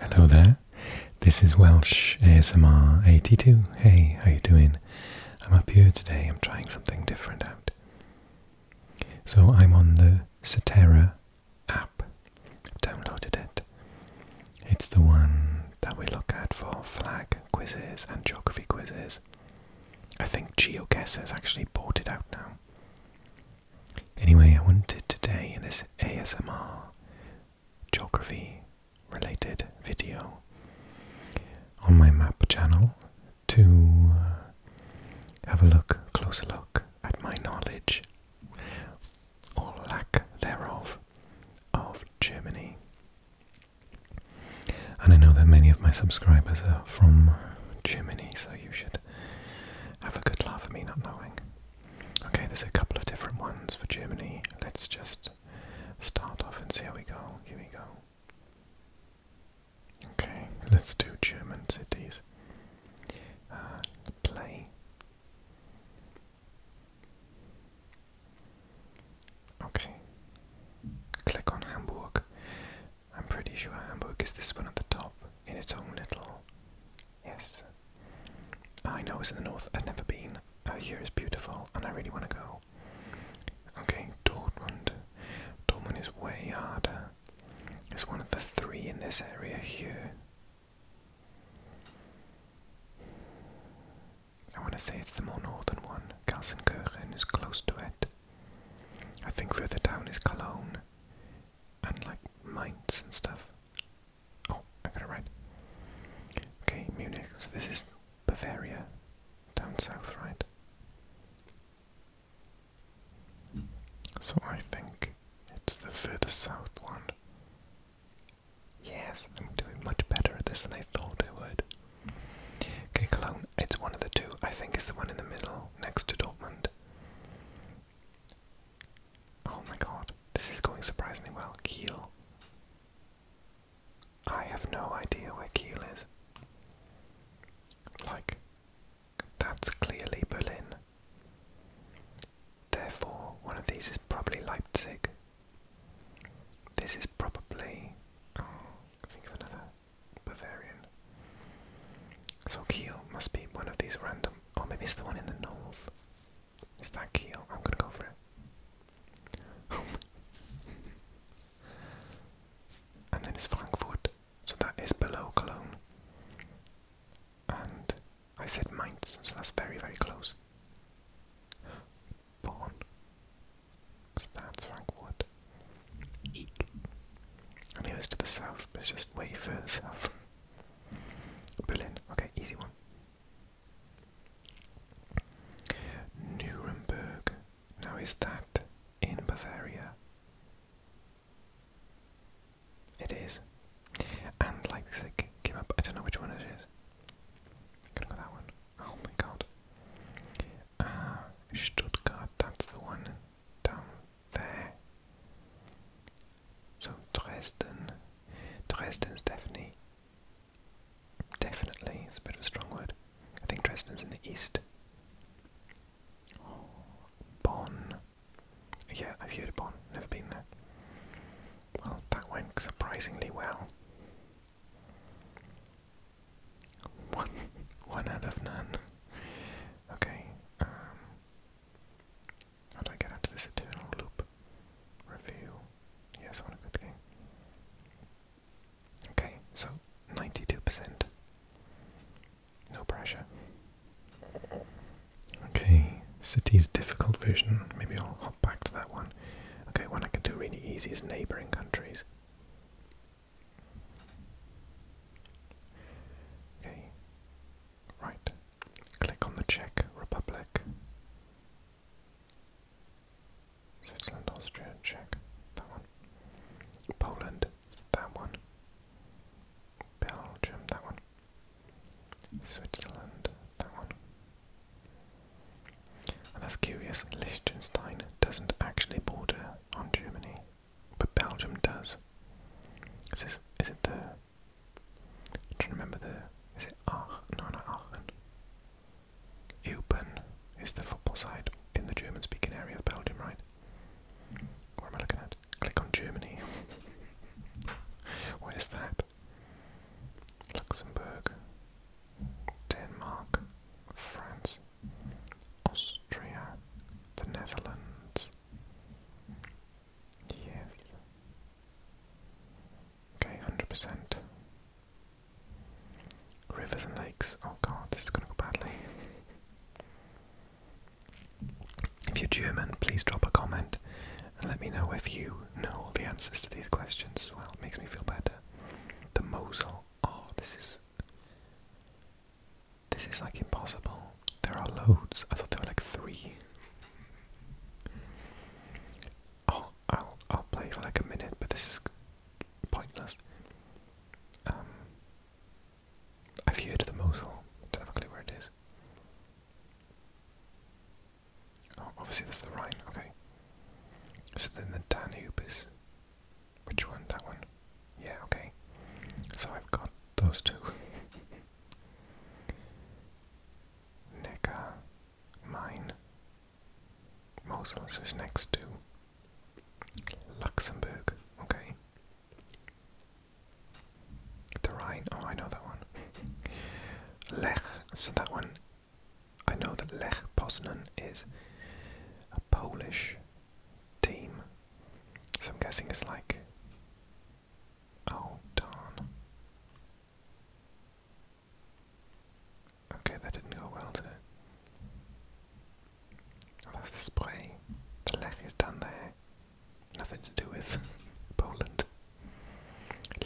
Hello there, this is Welsh ASMR 82. Hey, how you doing? I'm up here today, I'm trying something different out. So I'm on the Cetera app, i downloaded it. It's the one that we look at for flag quizzes and geography quizzes. I think GeoGuessers actually bought it out now. Anyway, I wanted today in this ASMR geography related video on my map channel to uh, have a look, closer look at my knowledge or lack thereof of Germany. And I know that many of my subscribers are from Germany, so you should have a good laugh at me not knowing. Okay, there's a couple of different ones for Germany. Let's just start off and see how we go. Here we go. Okay, let's do German cities. Uh, play. Okay. Click on Hamburg. I'm pretty sure Hamburg is this one at the top in its own little Yes. I know it's in the north. I've never been. Uh, here is beautiful, and I really want to go. Okay, Dortmund. Dortmund is way harder. It's one of the three in this area here. I want to say it's the more northern one. Gelsenkirchen is close to it. I think further down is Cologne and like mines and stuff. Oh, I got it right. Okay, Munich. So this is Bavaria, down south, right? So I think it's the furthest south one. Yes, I'm doing much better at this than I thought I would. Okay, Cologne. It's one of the two. I think it's the one in the middle, next to Dortmund. Oh my god, this is going surprisingly well. Keel. I have no idea where Keel is. Like, that's clearly Berlin. Therefore, one of these is probably Leipzig. This is probably. Oh, think of another Bavarian. So Keel must be one of these random Oh, maybe it's the one in the north. Is that Keel? I'm gonna go for it. and then it's Frankfurt, so that is below Cologne. And I said Mainz, so that's very, very close. Bonn. So that's Frankfurt. And it was to the south, but it's just way further south. Berlin. Okay, easy one. Nuremberg. Now, is that in Bavaria? It is. And Leipzig came up. I don't know which one its I'm gonna go that one. Oh my god. Ah, Stuttgart, that's the one down there. So Dresden, Dresden definitely, definitely, it's a bit of a strong word. I think Dresden's in the east. Bon, Yeah, I've heard of Bon. never been there. Well, that went surprisingly well. One, one out of none. Okay, um, how do I get out of this eternal loop? Review. Yes, I want a good game. Okay, so 92%. No pressure. Okay, city's difficult vision. Maybe I'll hop back to that one. Okay, one I can do really easy is neighbouring countries. Okay, Right, click on the Czech Republic. Switzerland, Austria, Czech, that one. Poland, that one. Belgium, that one. Switzerland, that one. And that's curious, Liechtenstein doesn't actually border on Germany but Belgium does. Is this, is it the? I'm trying to remember the. Is it Aachen? No, not Aachen. Eupen is the football side in the German-speaking area of Belgium, right? What am I looking at? Click on Germany. Where's that? Luxembourg, Denmark, France, Austria, the Netherlands, Yes. Okay, 100%. Rivers and lakes. Oh god, this is gonna go badly. if you're German, please drop a comment and let me know if you know all the answers to these questions. Well, it makes me feel better. The Mosel. Oh, this is. This is like impossible. There are loads. I thought there were like three. Oh, I'll I'll play for like a minute, but this is pointless. Um, I've heard the Mosul. Don't have a clue where it is. Oh, obviously that's the Rhine. Okay. So then the Danube is. Which one? That one. Yeah, okay. So I've got those two. Neca, mine. Mosel's is next to Luxembourg, okay. The Rhine, oh I know that one. Lech, so that one, I know that Lech Poznan is a Polish team so I'm guessing it's like. Oh, darn. Okay, that didn't go well, did that's the spray. The left is done there. Nothing to do with Poland.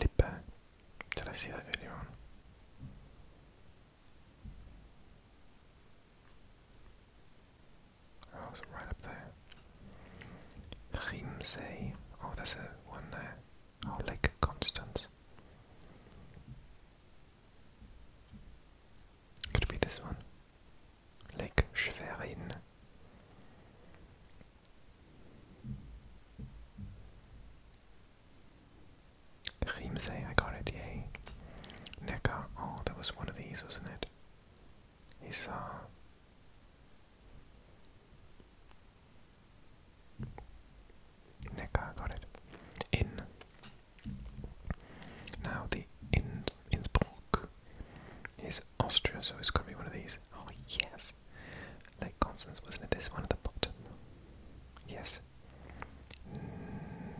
Lippe. Did I see that earlier on? Oh, right up there. Riemsee. Oh, there's a one there. Oh, Lake Constance. Could be this one. Lake Schwerin. Riemsee, I got it, yay. Neckar, oh, there was one of these, wasn't it? he saw. Neckar got it. In. Now the in Innsbruck is Austria, so it's got to be one of these. Oh yes, Lake Constance wasn't it? This one at the bottom. Yes.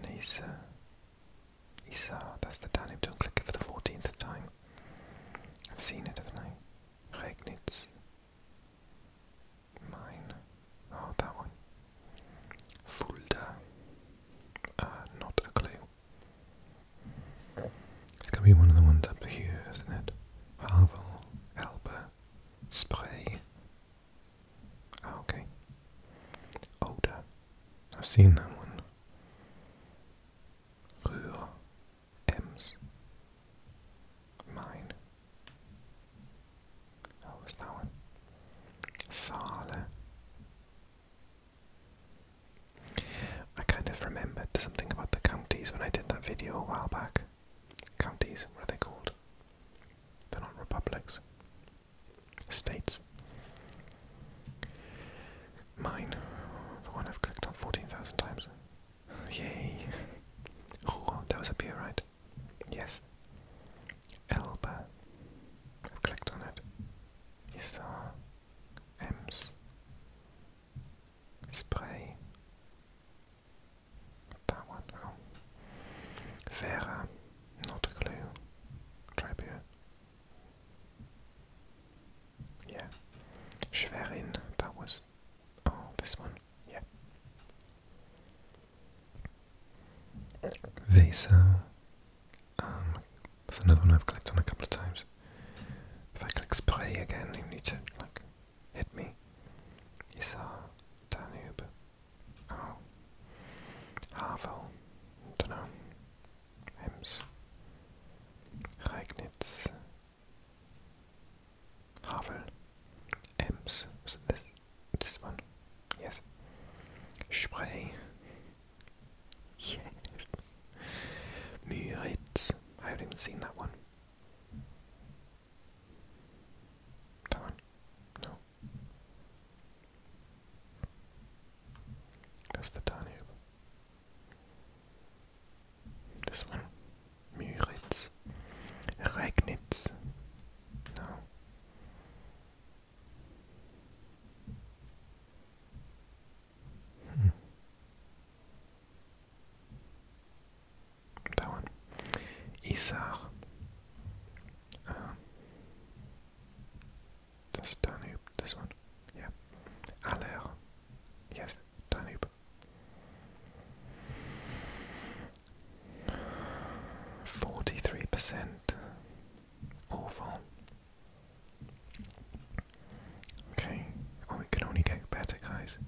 Nisa. Isa, ah, that's the Danube. Don't click it for the 14th time. I've seen it, haven't I? Regnitz. Mine. Oh, that one. Fulda. Uh, not a clue. It's gonna be one of the ones up here, isn't it? Havel, Elba, Spray. Ah, okay. Older. I've seen that one. Rühr Ems. Mine. Oh, was that one? Saale. I kind of remembered something about the counties when I did that video a while back. Counties, what are they called? They're not republics states. Mine, the one I've clicked on 14,000 times. Yay! Oh, that was a beer, right? Yes. Elba. I've clicked on it. You saw Spray. That one. Oh. Vera. Not a clue. Tribute. Yeah. Schwerin, that was oh this one. Yeah. Vesa. Um that's another one I've clicked on a couple of times. If I click spray again you need to like hit me. Isar, Danube. Oh. Havel. Dunno. Rems, Reignitz, Havel, Ems, this, this one? Yes. Spree. Yes. Müritz. I haven't even seen that one. That one? No. That's the Danube. This one. Müritz. Regnitz. No. Hmm. That one. Isar. Um, that's Danube, this one. Yeah. Aller. Yes, Danube. Forty-three percent. Awful. Okay, oh, well, it can only get better, guys.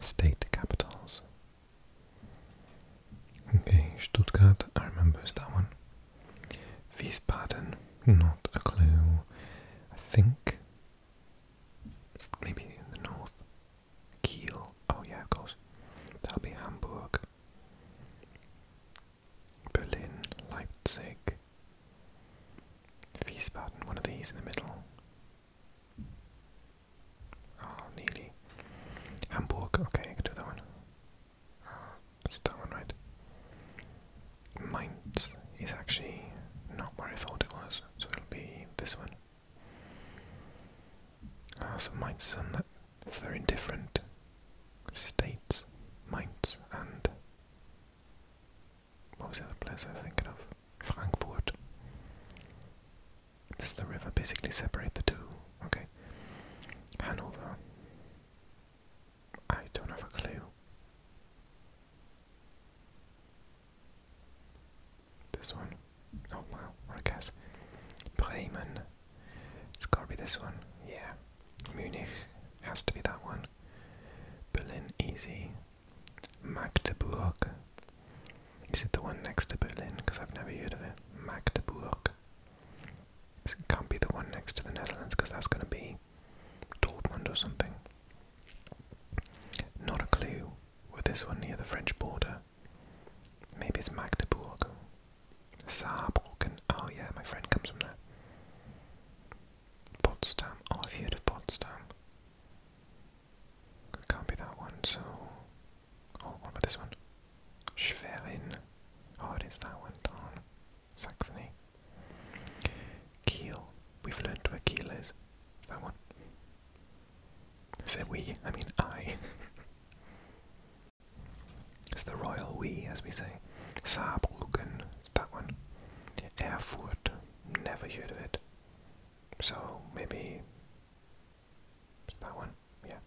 State capitals. Okay, Stuttgart, I remember that one. V's pattern, not a clue. I think maybe in the north. Kiel. Oh yeah, of course. That'll be Hamburg. Berlin, Leipzig, Wiesbaden, one of these in the middle. Oh, nearly. Hamburg, okay, do that one. Uh, is that one right? Mainz is actually not where I thought it was, so it'll be this one. Ah, so Mainz and that, so they in different states. Mainz and what was the other place I was thinking of? Frankfurt. Does the river basically separate the two? Okay. Hanover. I don't have a clue. This one. Oh, wow, what guess. Bremen. It's gotta be this one. Yeah. Munich has to be that one. Berlin, easy. Magdeburg. Is it the one next to Berlin? Because I've never heard of it. Magdeburg can't be the one next to the Netherlands because that's going to be Dortmund or something. Not a clue with this one near the French border. Maybe it's Magdeburg. Saarbrücken. Oh yeah, my friend comes from there. Potsdam. Oh, I've heard of Potsdam. can't be that one, so... Oh, what about this one? Schwerin. Oh, it is that one, Saxony. Kiel. We've learned where Kiel is. That one. I say we, I mean I. it's the royal we, as we say. Saarbrücken. It's that one. Erfurt. Never heard of it. So, maybe... That one, yeah.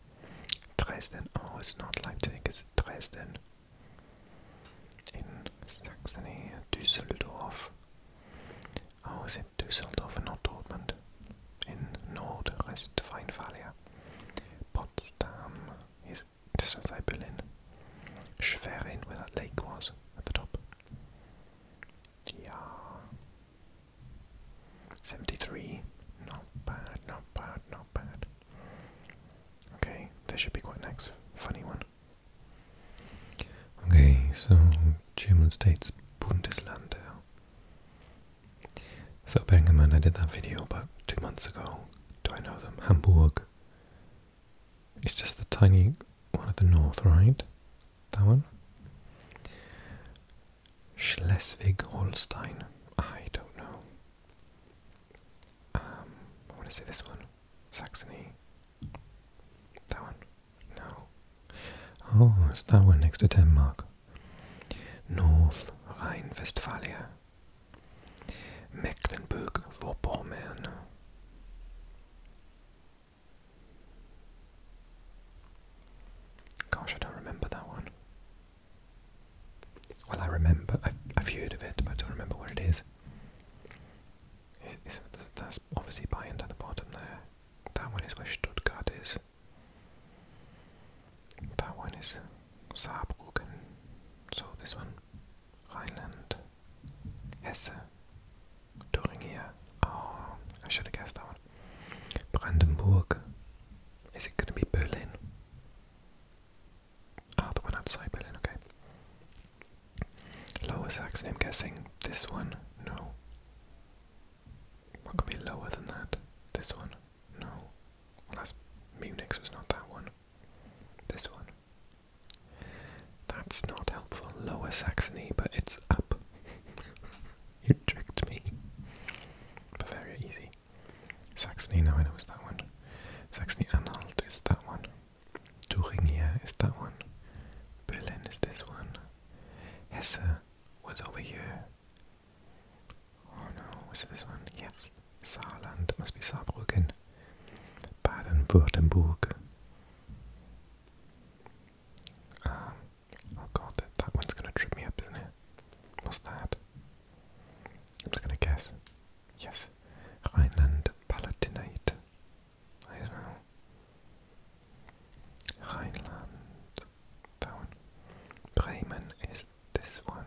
Dresden. Oh, it's not like Leipzig, it's Dresden in Saxony, Düsseldorf. Oh, is it Düsseldorf and not Dortmund? In Nordrhein-Westphalia, Potsdam is just outside Berlin. Schwerin, where that lake was at the top. Yeah. 73. Not bad, not bad, not bad. Okay, this should be quite next. Funny one. Okay, so German states Bundesländer. So bearing in mind I did that video about two months ago. Do I know them? Hamburg. It's just the tiny one at the north, right? That one? Schleswig Holstein. I don't know. Um, I want to say this one. Saxony. That one. No. Oh, it's that one next to Denmark. North Rhine-Westphalia. Mecklenburg-Vorpommern. Gosh, I don't remember that one. Well, I remember. I've, heard of it, but I don't remember where it is. that's obviously Bayern at the bottom there. That one is where Stuttgart is. That one is Saarbrücken. So this one, Rhineland, Hesse, Thuringia. Oh, I should have guessed that one. Brandenburg. Is it going to be Berlin? Ah, the one outside Berlin, okay. Lower Saxony, I'm guessing this one, no. What could be lower than that? This one, no. Well, Munich, so not that one. This one. That's not helpful. Lower Saxony, but it's up. you tricked me. Bavaria, easy. Saxony, now I know, it's that one. Saxony-Anhalt is that one. Thuringia is that one. Berlin is this one. Hesse was over here. Oh no, was it this one? Yes. Saarland, must be Saarbrücken. Baden-Württemberg. Um, oh god, that, that one's gonna trip me up, isn't it? What's that? I'm just going to guess. Yes. Rhineland Palatinate. I don't know. Rhineland. That one. Bremen is this one.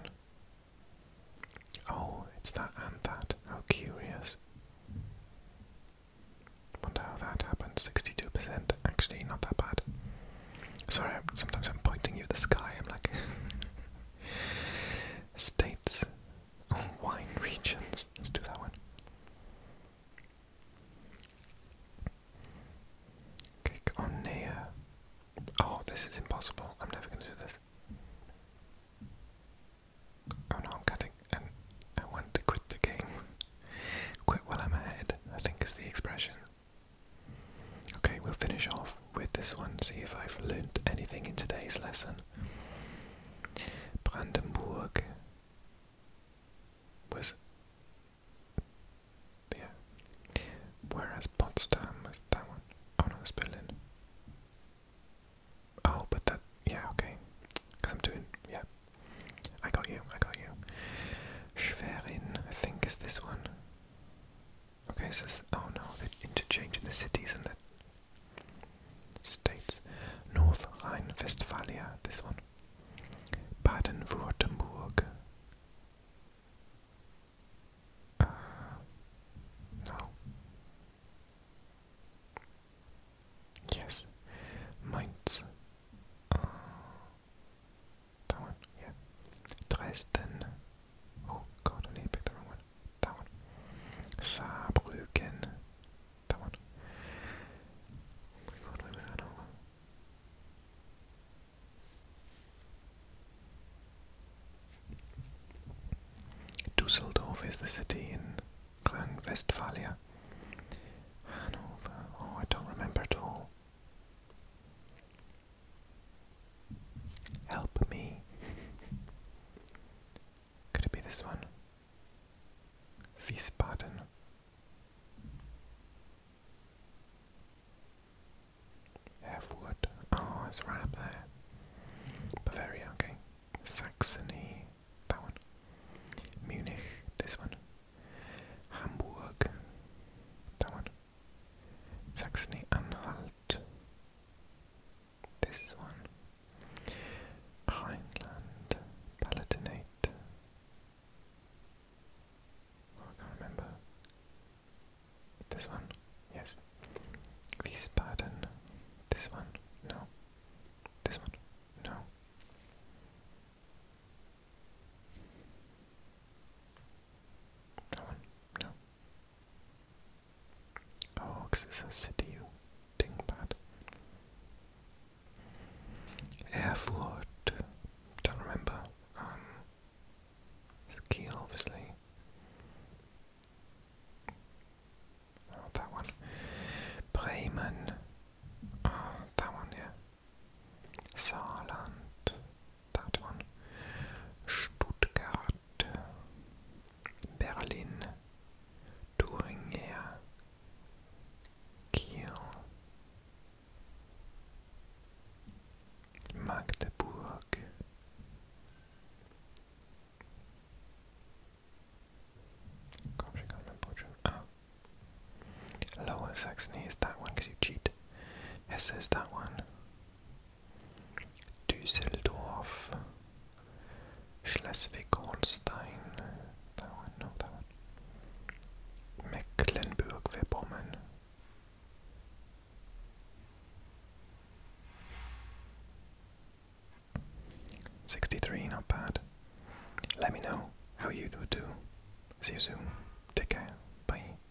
Oh, it's that and that. How curious. Wonder how that happened. 62%. Actually, not that bad. Sorry, sometimes I'm pointing you the sky. I'm like, States wine regions. Let's do that one. Click on Nea. Oh, this is impossible. I'm never going to do this. Oh no, I'm cutting. And I want to quit the game. Quit while I'm ahead, I think is the expression. Okay, we'll finish off with this one, see if I've learned anything in today's lesson. Brandenburg was. Yeah. Whereas Potsdam was that one. Oh no, it's Berlin. Oh, but that. Yeah, okay. Because I'm doing. Yeah. I got you, I got you. Schwerin, I think, is this one. Okay, so oh no, they're in the cities and the states. North Rhine-Westphalia, this one. Baden-Württemberg. Uh, no. Yes. Mainz. Uh, that one, yeah. Dresden. Oh god, I need to pick the wrong one. That one. Saarbrücken. That one. Oh my god, wait, wait, I do Dusseldorf is the city in Rhine-Westphalia. Hanover. Oh, I don't remember at all. Help me. Could it be this one? Wiesbaden. I Oh, it's right up there. Bavaria, okay. Saxony, that one. Munich, this one. Hamburg, that one. Saxony-Anhalt. This one. Rhineland, Palatinate. Oh, I can't remember. This one? Yes. Wiesbaden. This one? No. This one? No. That one? No. Oh, because it's a city, you dingbat. Erfurt. Don't remember. Um, it's obviously. Oh, that one. Bremen. Oh, that one, yeah. Saarland that one. Stuttgart, Berlin, Thuringia, Kiel, Magdeburg. Gosh, I can Lower Saxony is that one because you cheat. Hesse is that one. Düsseldorf, Schleswig-Holstein, that one, no, that one, Mecklenburg-Vorpommern. Sixty-three, not bad. Let me know how you do. too. See you soon. Take care. Bye.